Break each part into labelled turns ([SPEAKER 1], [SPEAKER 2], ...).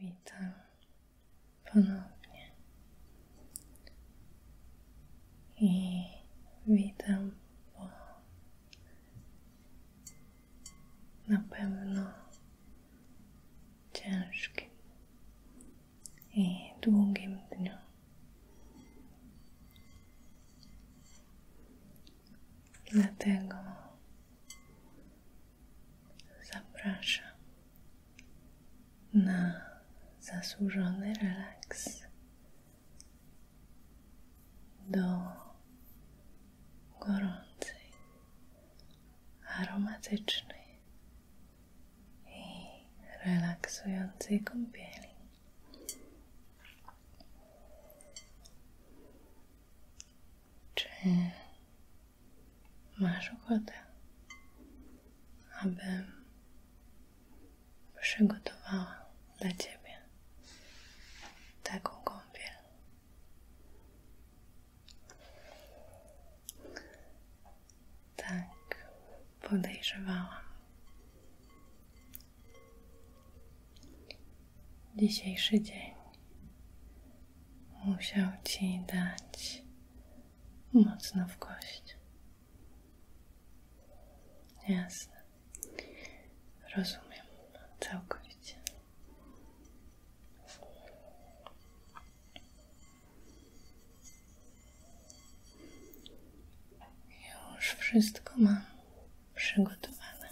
[SPEAKER 1] Witam ponownie i witam po na pewno ciężkim i długim dniu. Dlatego Zapraszam na zasłużony relaks do gorącej, aromatycznej i relaksującej kąpieli. Czy masz ochotę, abym przygotowała dla Ciebie taką kąpiel. Tak, podejrzewałam dzisiejszy dzień musiał ci dać mocno w kość. Jasne. Rozumiem całkowicie. Już wszystko mam przygotowane,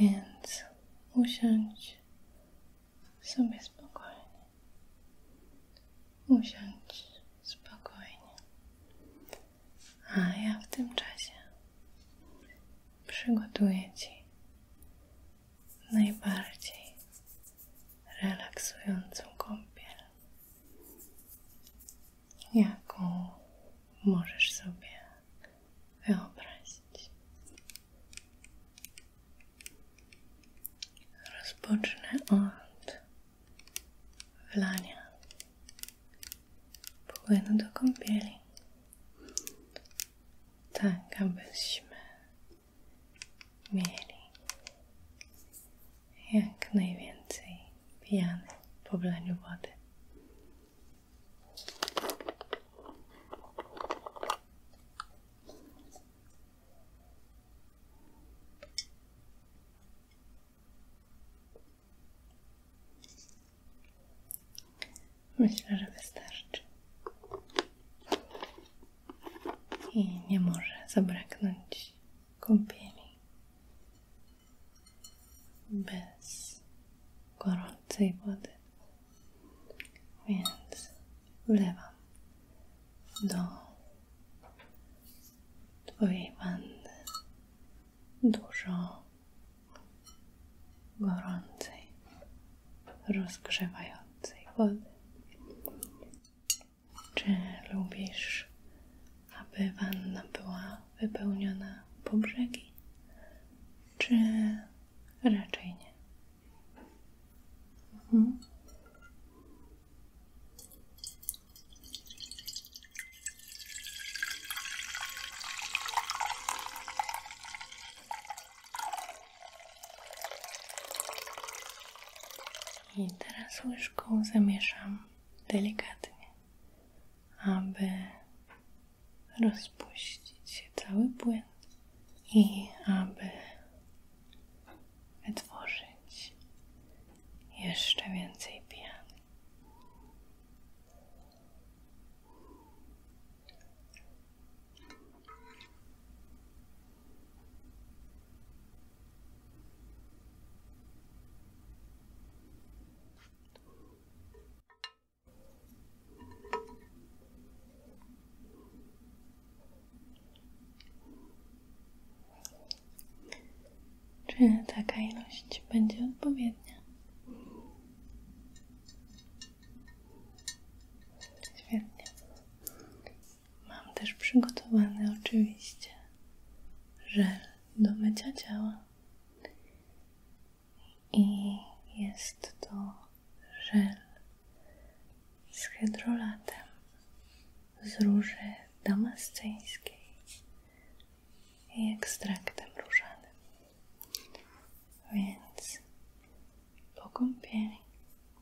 [SPEAKER 1] więc usiądź sobie spokojnie. Usiądź spokojnie. A ja w tym czasie przygotuję Ci najbardziej relaksującą kąpiel, jaką możesz sobie wyobrazić. Rozpocznę od wlania płynu do kąpieli, tak abyśmy mieli jak najwięcej piany po wlaniu wody. Myślę, że wystarczy. I nie może zabraknąć kąpieli bez gorącej wody. Więc wlewam do Twojej wanny dużo gorącej, rozgrzewającej wody. Czy lubisz, aby wanna była wypełniona po brzegi? Czy Raczej nie. Mhm. I teraz łyżką zamieszam delikatnie, aby rozpuścić się cały płyn i aby wytworzyć jeszcze więcej pian. Czy taka ilość będzie odpowiednia? Świetnie. Mam też przygotowane, oczywiście żel do mycia ciała i jest to żel z hydrolatem z róży damasceńskiej i ekstraktem różanym. Więc po kąpieli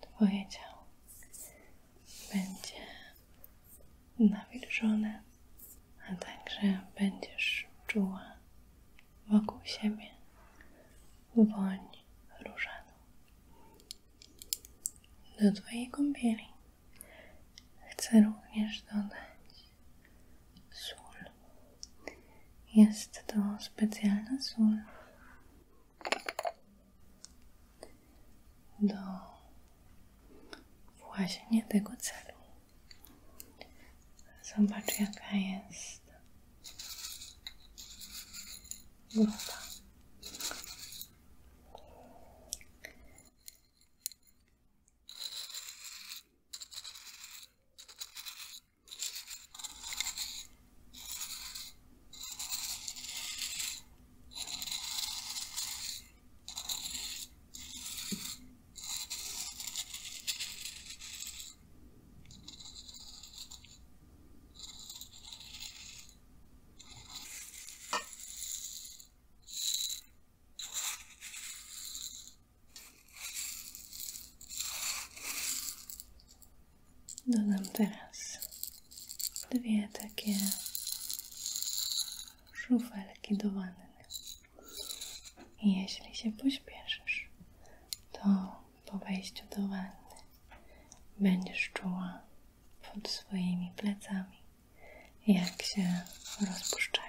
[SPEAKER 1] Twoje ciało będzie nawilżone, a także będziesz czuła wokół siebie woń różaną. Do Twojej kąpieli chcę również dodać sól. Jest to specjalna sól do właśnie tego celu. Zobacz, jaka jest głowa. Dodam teraz dwie takie szufelki do wanny. I jeśli się pośpieszysz, to po wejściu do wanny będziesz czuła pod swoimi plecami, jak się rozpuszczają.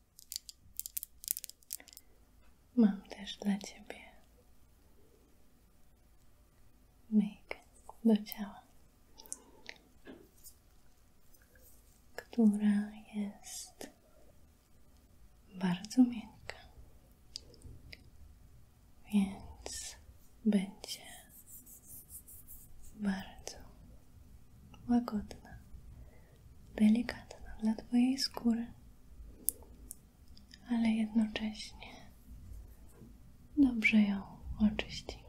[SPEAKER 1] Mam też dla Ciebie myjkę do ciała, która jest bardzo miękka, więc będzie bardzo łagodna delikatna dla Twojej skóry, ale jednocześnie dobrze ją oczyści.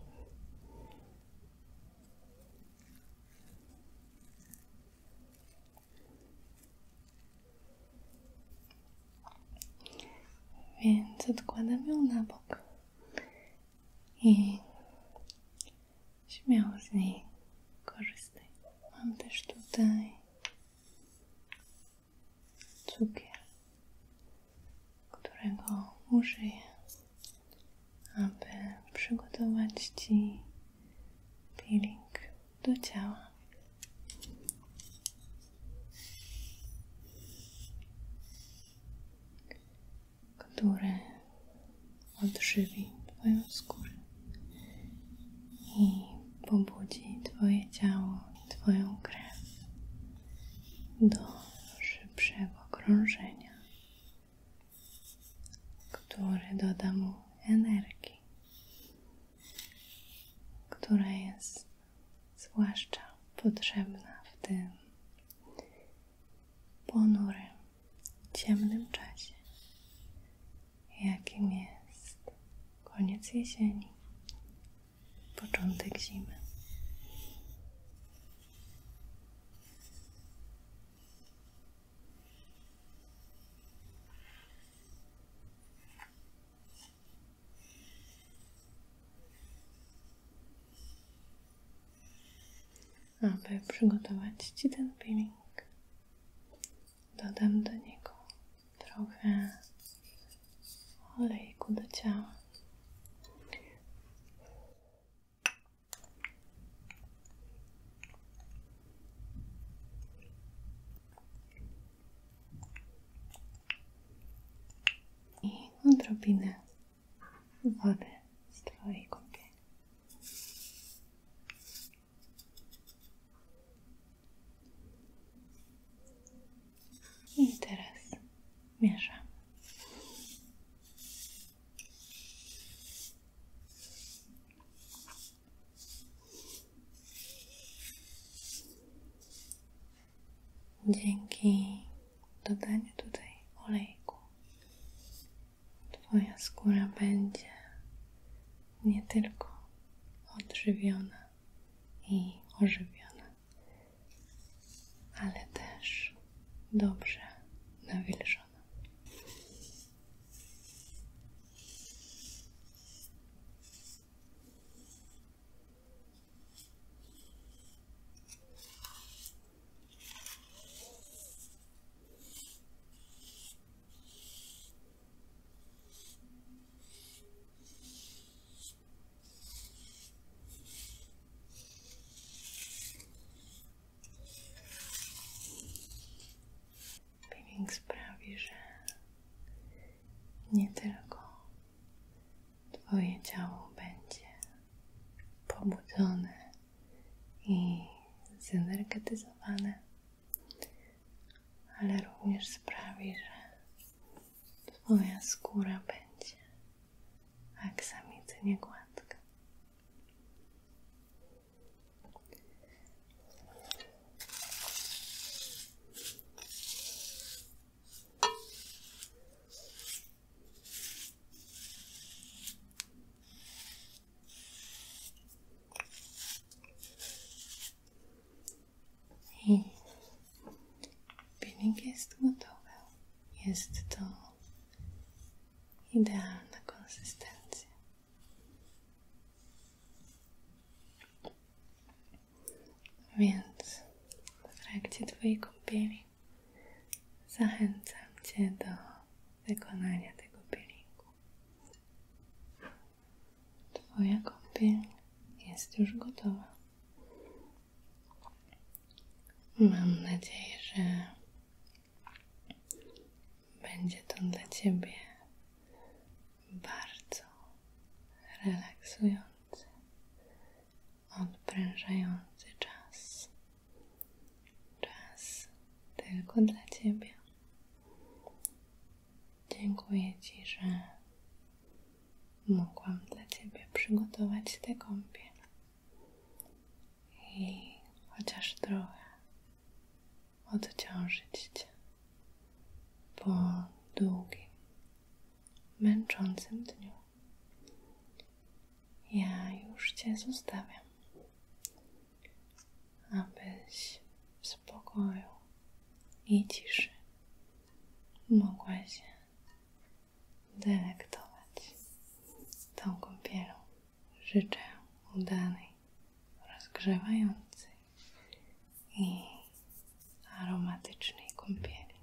[SPEAKER 1] Więc odkładam ją na bok i śmiało z niej korzystaj. Mam też tutaj cukier, którego użyję, aby przygotować Ci peeling do ciała. który odżywi Twoją skórę i pobudzi Twoje ciało i Twoją krew do szybszego krążenia, które doda mu energii, która jest zwłaszcza potrzebna w tym ponurym ciemnym czasie, jakim jest koniec jesieni, początek zimy. aby przygotować Ci ten Dodam do niego trochę olejku do ciała. I odrobinę wody z Twojej kąpieli. I teraz mieszam. Dzięki dodaniu tutaj olejku Twoja skóra będzie nie tylko odżywiona i ożywiona, ale też dobrze nawilżona. Peeling sprawi, że nie tylko Twoje ciało będzie pobudzone, i zenergetyzowane, ale również sprawi, że Twoja skóra będzie aksamicynie gładka. I jest gotowy. Jest to idealna konsystencja. Więc w trakcie Twojej kąpieli zachęcam Cię do wykonania tego peelingu. Twoja kąpiel jest już gotowa. Mam nadzieję, że będzie to dla Ciebie bardzo relaksujący, odprężający czas Czas tylko dla Ciebie. Dziękuję Ci, że mogłam dla Ciebie przygotować te kąpiel i chociaż trochę odciążyć Cię po długim, męczącym dniu ja już Cię zostawiam, abyś w spokoju i ciszy mogła się delektować tą kąpielą. Życzę udanej, rozgrzewającej i aromatycznej kąpieli.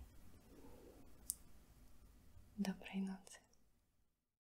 [SPEAKER 1] Dobrej nocy.